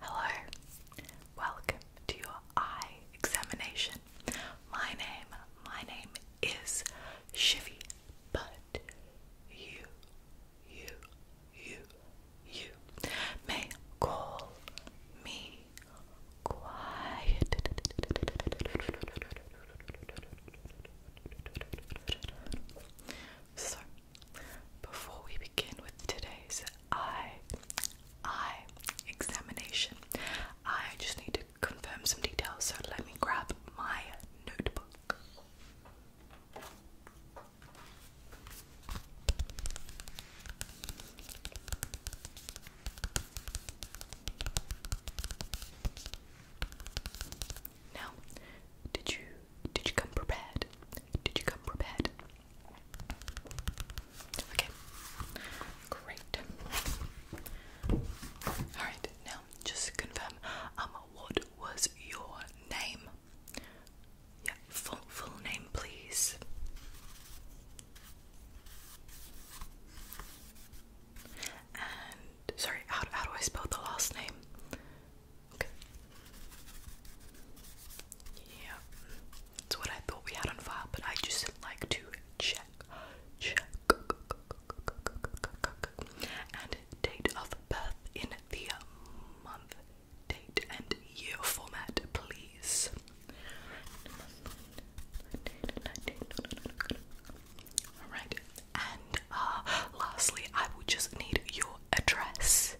Hello, welcome to your eye examination. My name, my name is Shivy, but you, you, you, you may call me quiet. So before we begin with today's eye eye examination, I just need to confirm some details, so let me grab my notebook. Now, did you did you come prepared? Did you come prepared? Okay. Great. Alright, now just confirm um what was your name? Yeah, full full name please. And sorry, how, how do I spell the last name? Yeah, it's what I thought we had on file, but I just like to check, check, and date of birth in the month, date, and year format, please. Alright, and uh, lastly, I will just need your address.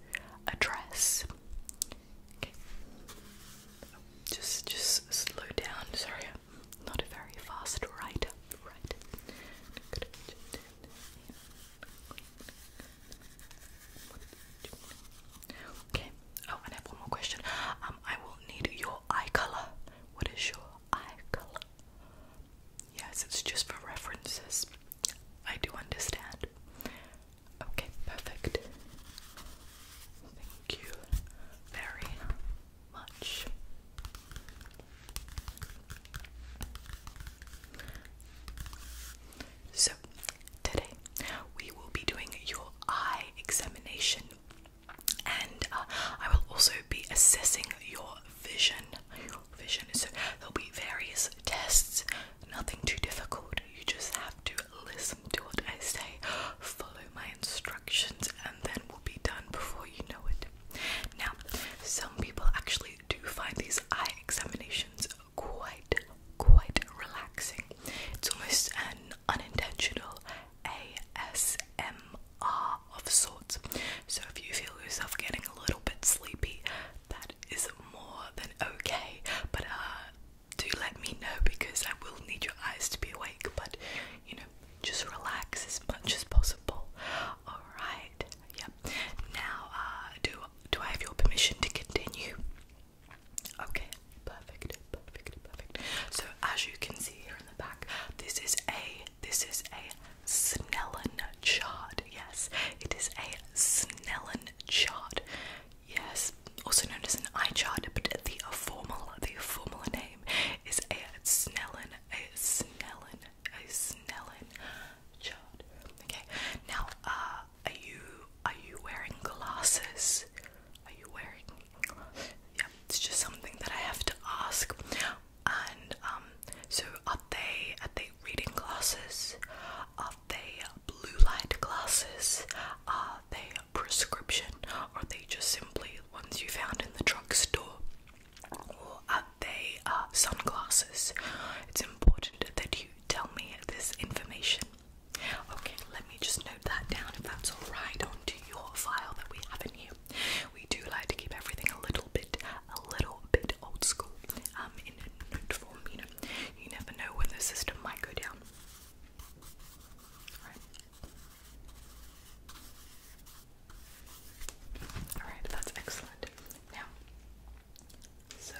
Address. Okay. Just, just slow down. Sorry, I'm not a very fast writer. Right. Okay. Oh, and I have one more question. Um, I will need your eye color. What is your eye color? Yes, it's just for references. I do understand. Okay, perfect. Thank you very much. So, today we will be doing your eye examination and uh, I will also be assessing your vision, vision. So there'll be various tests, nothing too difficult. You just have to listen to what I say, follow my instructions, and then we'll be done before you know it. Now, some people actually do find these eye examinations quite, quite relaxing. It's almost an unintentional ASMR alarm of sorts. So if you feel yourself getting a little bit sleepy, that is more than okay. But uh, do let me know because I will need your eyes to be awake. But you know, just relax as much as possible. All right. Yep. Now, uh, do do I have your permission to continue? Okay. Perfect. Perfect. Perfect. So as you can see here in the back, this is a this is a Snellen chard. Yes, it is a Snellen chart. Yes, also known as an eye chart, but the formal, the formal name is a Snellen, a Snellen, a Snellen chard. Okay, now, uh, are you are you wearing glasses? Are you wearing? Yeah, it's just something that I have to ask. And um, so are they are they reading glasses? Are they blue light glasses? Are they prescription? are they just simply ones you found in the drugstore? Or are they uh, sunglasses? It's important that you tell me this information. Okay, let me just note that down if that's alright onto your file that we have in here. We do like to keep everything a little bit, a little bit old school, um, in a note form, you know. You never know when the system might go down. Alright. Alright, that's excellent. Now, so,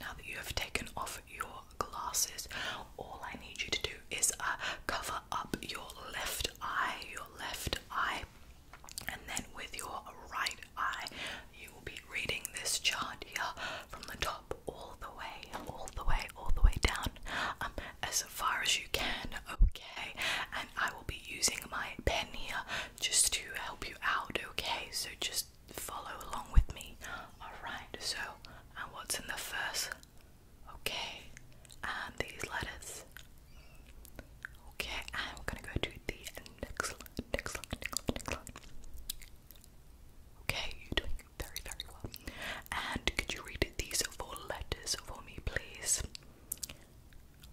now that you have taken off your glasses, all I need you to do is uh, cover up your left eye, your left eye and then with your right eye, you will be reading this chart here from the top all the way, all the way, all the way down, um, as far as you can. Okay, and I will be using my pen here just to help you out. Okay, so just follow along with me. All right. So, and what's in the first? Okay, and these letters. Okay, I'm gonna go to the next line, next line, next line, next line. Okay, you're doing very, very well. And could you read these four letters for me, please?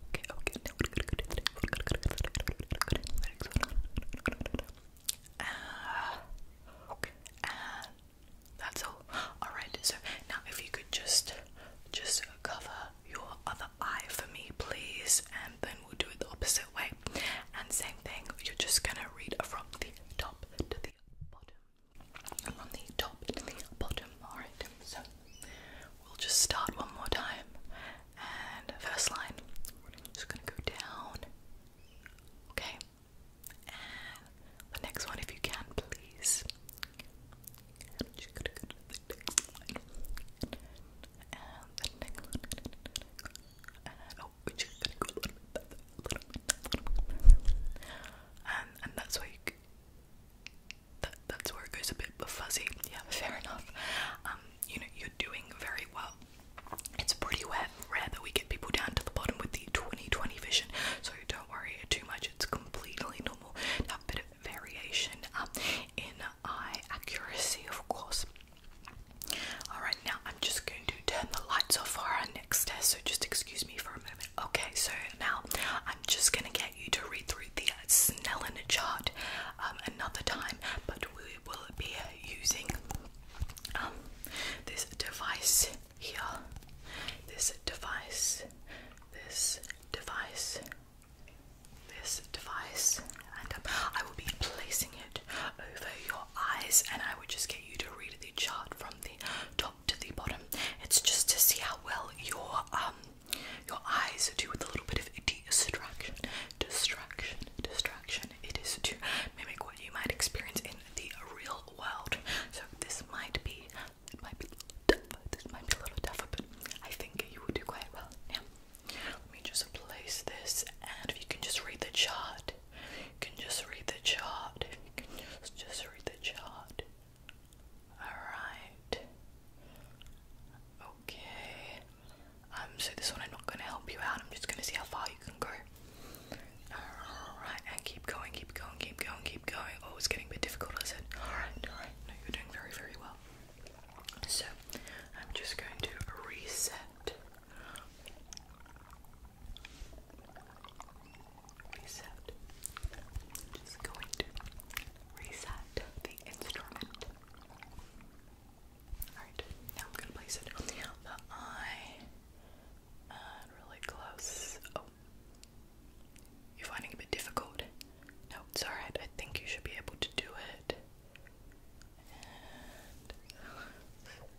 Okay, okay, now we're gonna go to the next one. Uh, okay, and that's all. Alright, so now if you could just, just cover your other eye for me, please. And then we'll do it the opposite way. And same thing, you're just gonna read from the top to the bottom. from the top to the bottom. Alright, so we'll just start one more time. And first line, just gonna go down. Okay. the next one, if you can, please. And And that's where that, that's where it goes a bit fuzzy. Yeah, fair enough. Um, you know, you're doing very well. It's pretty rare, rare that we get people down to the bottom with the 2020 vision, so don't worry too much. It's completely normal normal. bit of variation um, in eye uh, accuracy, of course. Alright, now I'm just going to turn the lights off for our next test, so just excuse me for a moment. Okay, so now I'm just going to get you to read through the uh, Snellen chart um, another time, but we will be using um, this device here. This device, this device, this device, and um, I will be placing it over your eyes, and I would just get you to read the chart from the top to the bottom. It's just to see how well your um your eyes do with a little bit of distraction, distraction, distraction. It is to mimic what you might experience in the real world. So this might be it might be This might be a little tougher, but I think you would do quite well. Yeah. Let me just place this, and if you can just read the chart, you can just read the chart. can just read the chart. All right. Okay. Um. So this one, I'm not gonna help you out. I'm just gonna see how far you can go. Alright, and keep going, keep going, keep going, keep going. Oh, it's getting a bit difficult, is it? Alright, alright. No, you're doing very, very well. So, I'm just going to reset. Reset. just going to reset the instrument. Alright, now I'm going to place it the eye. Uh, really close. Oh, you're finding a bit difficult. No, it's alright. I think you should be able to do it.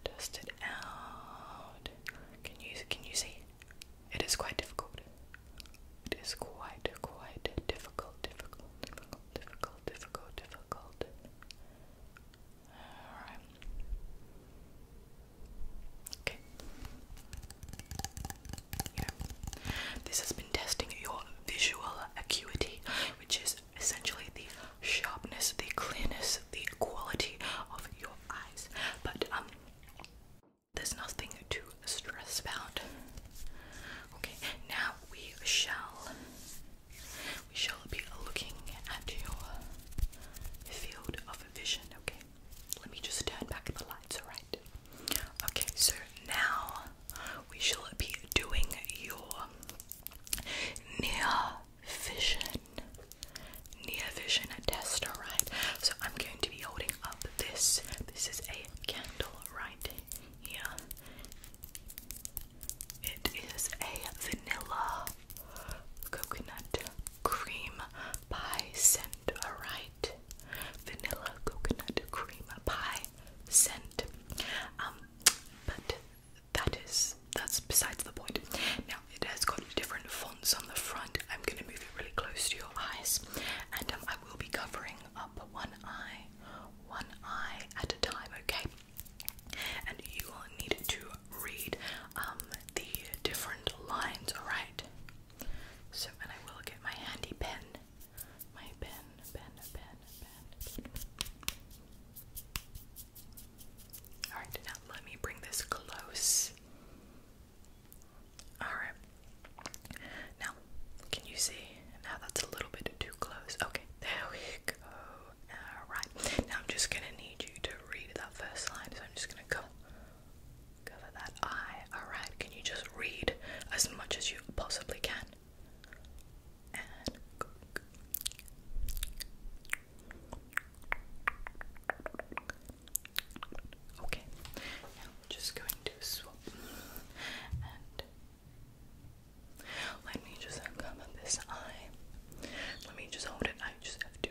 dust it out. Can you can you see? It is quite difficult. It is quite quite difficult, difficult, difficult, difficult, difficult, difficult. All right. Okay. You this has been testing your visual acuity, which is essentially the sharpness, the clearness, the quality of your eyes. But um, there's nothing to stress about. Okay, now we shall we shall be looking at your field of vision. Okay let me just turn back the lights, alright? Okay, so now we shall be doing your near vision, near vision test, alright? So I'm going to be holding up this. This is a candle right here. It is a vanilla coconut cream pie scent, alright? Vanilla coconut cream pie scent. Um, but that is that's besides the point. Now it has got different fonts on the front. I'm gonna move it really close to your eyes, and um, I will be covering up one eye, one eye at a time, okay? And you will need to read um, the different lines, alright? So, and I will get my handy pen. My pen, pen, pen, pen. Alright, now let me bring this close. Alright. Now, can you see? Now that's a little bit too close. Okay, there we go. Alright, now I'm just gonna need you to read that first line, so I'm just gonna go cover that eye. Alright, can you just read as much as you possibly can? Okay, now I'm just going to swap and let me just uncover this eye. Let me just hold it. I just have to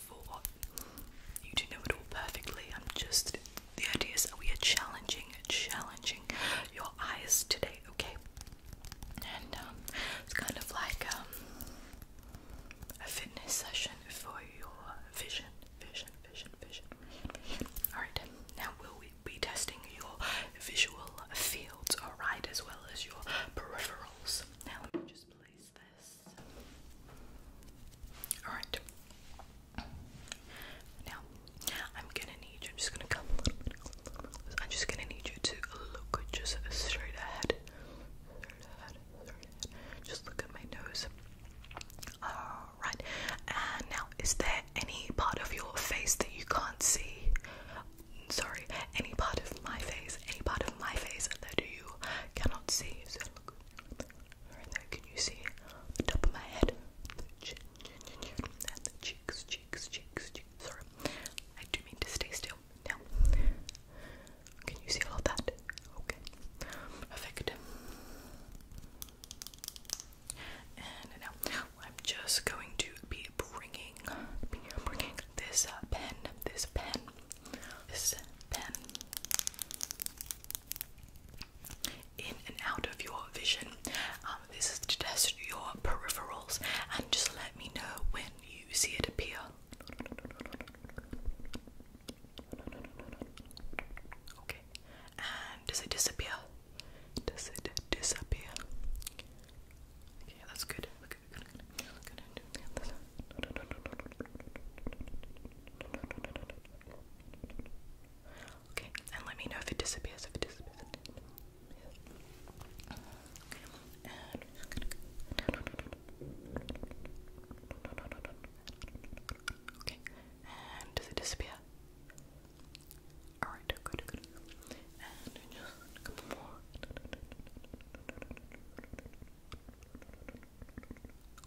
of thought, what you do know it all perfectly. I'm just the idea is that we are challenging, challenging your eyes today, okay? And um, it's kind of like um, a fitness session for your vision, vision, vision, vision. vision. Alright, now will we be testing your visual fields, alright, as well as your peripherals? Now let me just place that. Alright. Now, I'm gonna need you, I'm just gonna come I'm just gonna need you to look just straight ahead. Just look at my nose. Alright. And now, is there any part of your face that you can't see? Sorry, any part of my face, any part of my face that you cannot see. Right there, can you see the top of my head? The chin, and the cheeks, cheeks, cheeks, Sorry, I do mean to stay still. Now, can you see all of that? Okay, perfect. And now I'm just going to be bringing, bringing this uh, pen, this pen this pen in and out of your vision. Um, this is to test your peripherals and just let me know when you see it appear. Okay, and does it disappear? Does it disappear? Okay, that's good. Okay, and let me know if it disappears, if it disappears. Okay, and does it disappear? Alright, good. And just a couple more.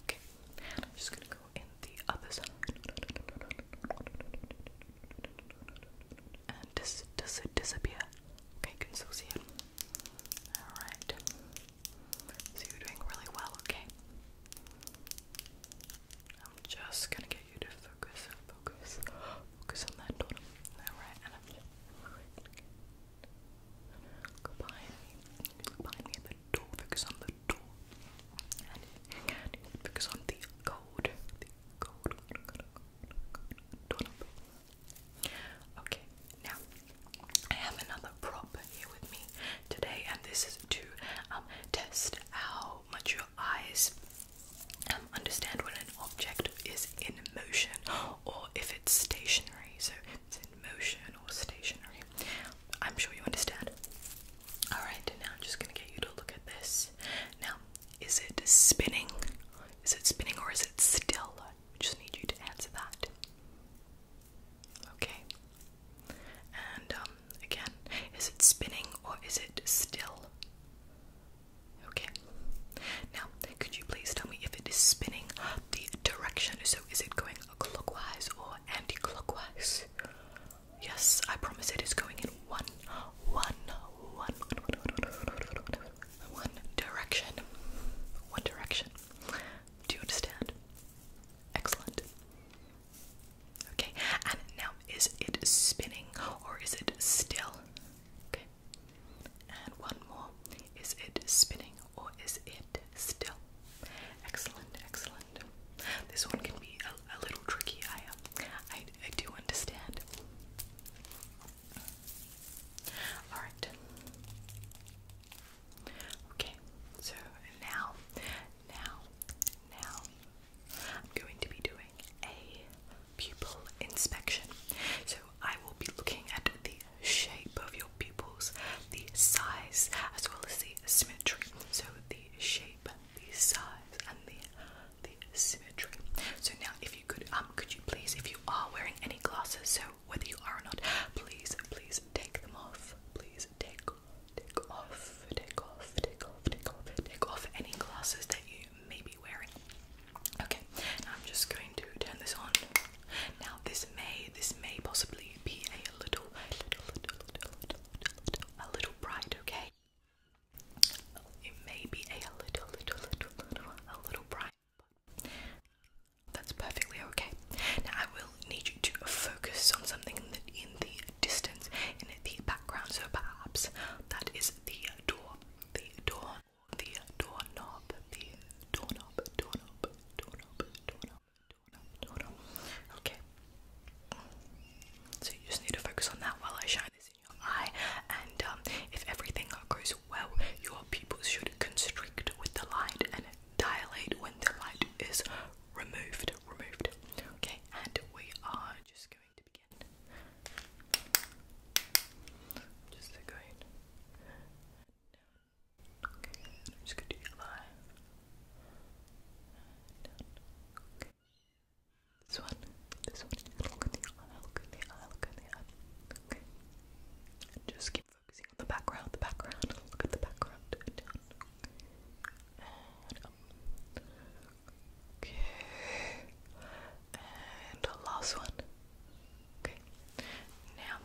Okay, I'm just gonna go in the other side. And does, does disappear? Okay, you still see it. Alright. So you're doing really well, okay? I'm just gonna get you to focus, focus, focus on that dot. Alright, behind me. behind me at the door. Focus on the door. And focus on the gold. The gold. Okay, now I have another prop here with me today, and this is to um, test how much your eyes um, understand when an object is in motion or if it's stationary. So, motion or stationary. I'm sure you understand. Alright, now I'm just gonna get you to look at this. Now, is it spinning? Is it spinning or is it still? I just need you to answer that. Okay. And um, again, is it spinning or is it still? Okay. Now, could you please tell me if it is spinning the direction? So, is it going clockwise or anti-clockwise? Yes, I promise it is going in one, one, one, one direction. One direction. Do you understand? Excellent. Okay, and now is it spinning or is it still? Okay, and one more. Is it spinning or is it still? Excellent, excellent. This one can be a, little tricky. I, um, I, I do understand. All right. Okay. So now, now, now, I'm going to be doing a pupil inspection. So I will be looking at the shape of your pupils, the size, as well as the symmetry. So the shape, the size, and the the symmetry. So now, if you could, um, could you please, if you are wearing any glasses, so whether you are or not, please, please take them off. Please take, take off, take off, take off, take off, take off any glasses that you may be wearing. Okay, I'm just going to turn this on. Now this may this may possibly be a little, little, little, little, little, a little bright. Okay, it may be a little, little, little, little, a little bright. that's perfectly okay. Now I will need you to focus on something in the, in the distance, in the background. So perhaps that is the door, the door the doorknob, the doorknob, doorknob, doorknob, doorknob, doorknob, Okay. So you just need to focus on that while I shine this in your eye, and um, if everything goes well, your pupils should constrict with the light and dilate when the light is removed. Removed. Okay, and we are just going to begin. Just like right Okay, I'm just gonna do your Okay. This one, this one, look at the eye, look at the eye, look at the eye. Okay. just keep focusing on the background, the background, look at the background, Okay and last one. Okay. Now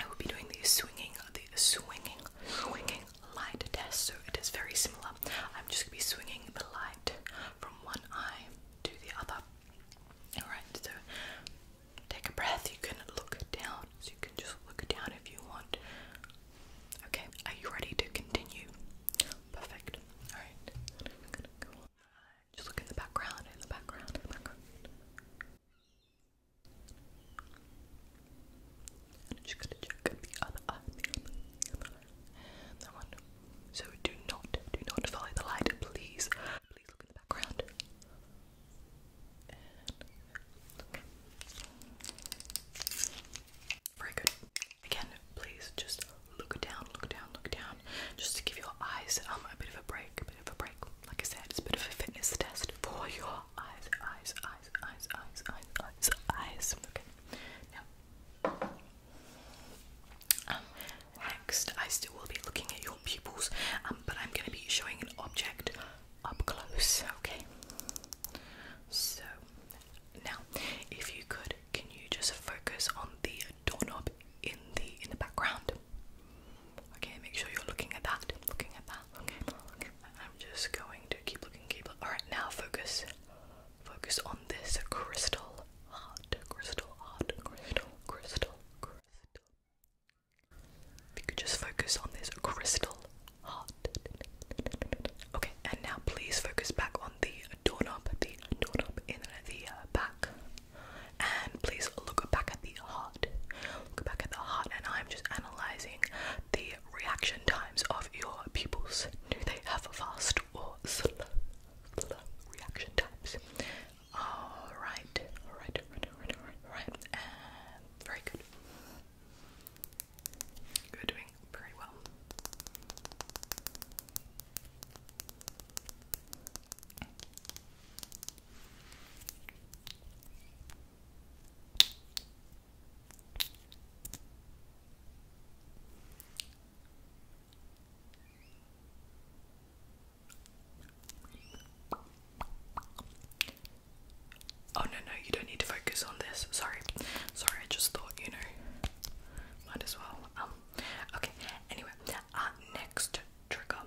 I will be doing the swinging, the swinging, swinging light test. So it is very similar. I'm just gonna be swinging the light from one eye to the other. All right. So take a breath. You can look down. So you can just look down if you want. Okay. Are you ready to continue? Perfect. alright just look in the background, in the background, in the background. And just gonna check the other eye, That one. So do not, do not follow the light, please. Please look in the background. Very good. Again, please just look down, look down, look down, just to give your eyes um, a bit of a break, a bit of a break. Like I said, it's a bit of a fitness test for your eyes, eyes, eyes, eyes, eyes, eyes, eyes, Okay. Now, um, next, I still will be looking at your pupils, um, but I'm going to be showing an object up close. Okay. So, now, if you could, can you just focus on the doorknob in the in the background. Okay, make sure you're looking at that. Looking at that. Okay. I'm just going to keep looking, keep looking. Alright, now focus. Focus on this crystal heart. Crystal heart. Crystal. Crystal. Crystal. If you could just focus on this crystal heart. Okay, and now please focus back on the doorknob, the doorknob in the uh, back. And please look back at the heart. Look back at the heart, and I'm just analyzing the reaction times of your pupils. Do they have fast or slow, reaction times? Alright, alright, alright, alright, alright, very good. you doing very well. Oh, no, no, you don't need to focus on this. Sorry, sorry, I just thought you know, might as well. Um, Okay, anyway, uh, next trigger.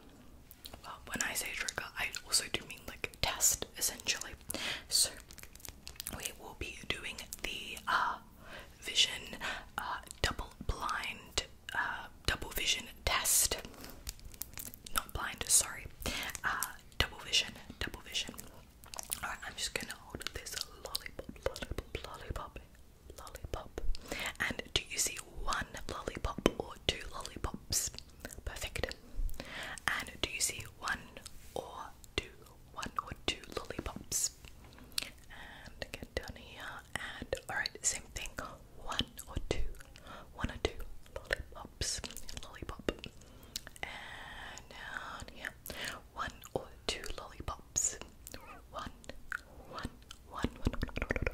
Well, when I say trigger, I also do mean like test essentially. So, we will be doing the uh, vision uh, double blind, uh, double vision test. Not blind, sorry. Uh, double vision, double vision. Alright, I'm just gonna hold this lollipop, lollipop, lollipop lollipop. And do you see one lollipop or two lollipops? Perfect. And do you see one or two, one or two lollipops? And get down here. And alright, same thing. One or two, one or two lollipops. Lollipop. And down here. One or two lollipops pops. two,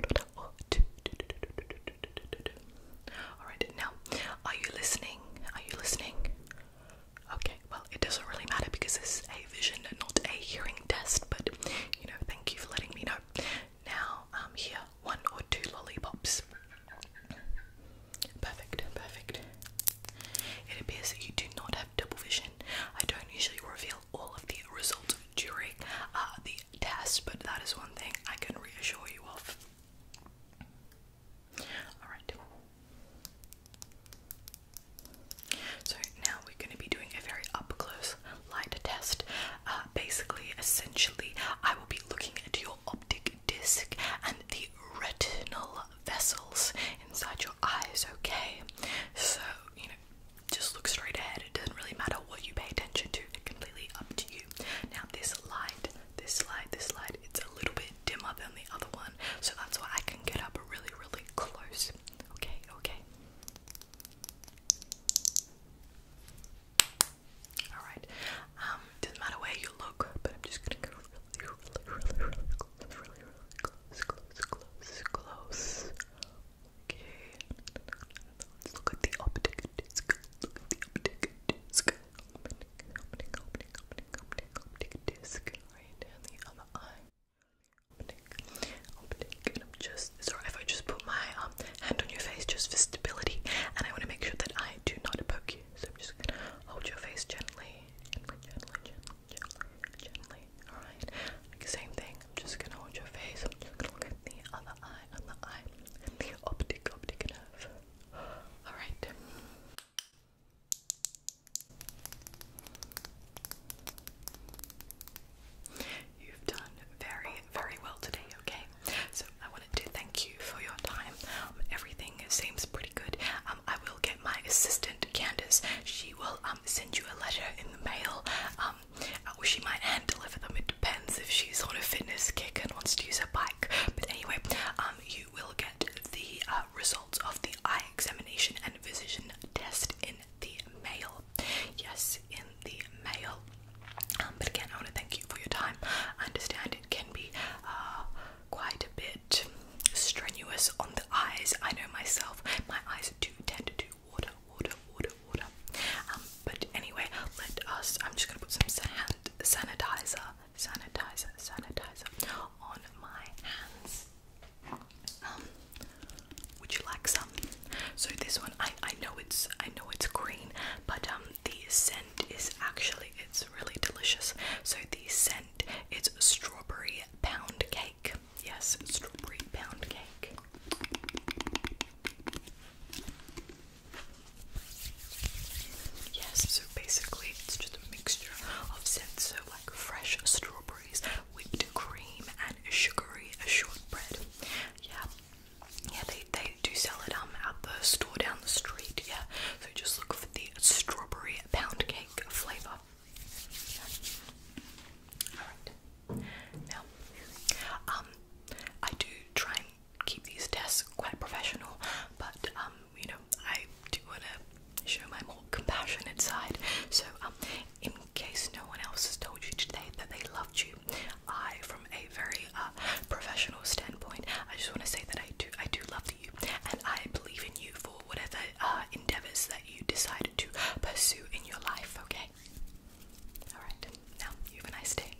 two, two, two, two, two. All right. Now, are you listening? Are you listening? Okay. Well, it doesn't really matter because this is a vision, not a hearing test. But you know, thank you for letting me know. Now, I'm here, one or two lollipops. Perfect, perfect. It appears that you do not have double vision. I don't usually reveal all of the results during uh, the test, but that is one thing I can reassure you of. Alright. So now we're going to be doing a very up close light test. Uh, basically, essentially, I will be looking at your optic disc and the retinal vessels inside your eyes, okay? So, you know, just look straight ahead. It doesn't really matter what you pay attention to, it's completely up to you. Now, this light, this light, this light, it's a little bit dimmer than the other one, so that's why I can get up really, really close. Okay, okay. Alright, um, doesn't matter where you look, but I'm just gonna really, really, really close, really, really close, close, close, close. Okay. Let's look at the optic disc. Look at the optic disc. Optic, optic, optic, optic, optic, optic disc. Right, and the other eye. Optic, optic. And I'm just sorry if I just put my um hand on your face just for stability, and I want to make sure that I do not poke you. So I'm just gonna hold your face gently gently, alright? Same thing, I'm just gonna hold your face, I'm just gonna look at the other eye, on the eye, optic, optic nerve. Alright. You've done very, very well today, okay? So I wanted to thank you for your time. Um, everything seems pretty good. Um, I will get my assistant Candice. She will um, send you a letter in the mail. Um, she might hand deliver them. It depends if she's on a fitness kick and wants to use her bike. But anyway, um, you will get the uh, results of the eye examination and vision test in the mail. Yes, in the mail. but again, I want to thank you for your time. I understand it can be uh, quite a bit strenuous on the eyes. I know myself, my eyes do tend to do water, water, water, water. Um, but anyway, let us. I'm just gonna put some sand, sanitizer, sanitizer, sanitizer on my hands. Um, would you like some? So this one, I I know it's I know it's green, but um the scent is actually it's really delicious. So the scent it's strawberry pound cake. Yes, strawberry pound cake. Yes, so basically it's just a mixture of scents, so like fresh strawberries, whipped cream, and sugary shortbread. Yeah, yeah, they they do sell it um at the store down the street. Yeah, so just look for the strawberry pound cake flavor. Now, um, I do try and keep these tests quite professional, but um, you know, I do want to show my more compassionate side. So, um, in case no one else has told you today that they loved you, I, from a very uh, professional standpoint, I just want to say that I do, I do love and I believe in you for whatever uh, endeavors that you decide to pursue in your life, okay? Alright, now you have a nice day.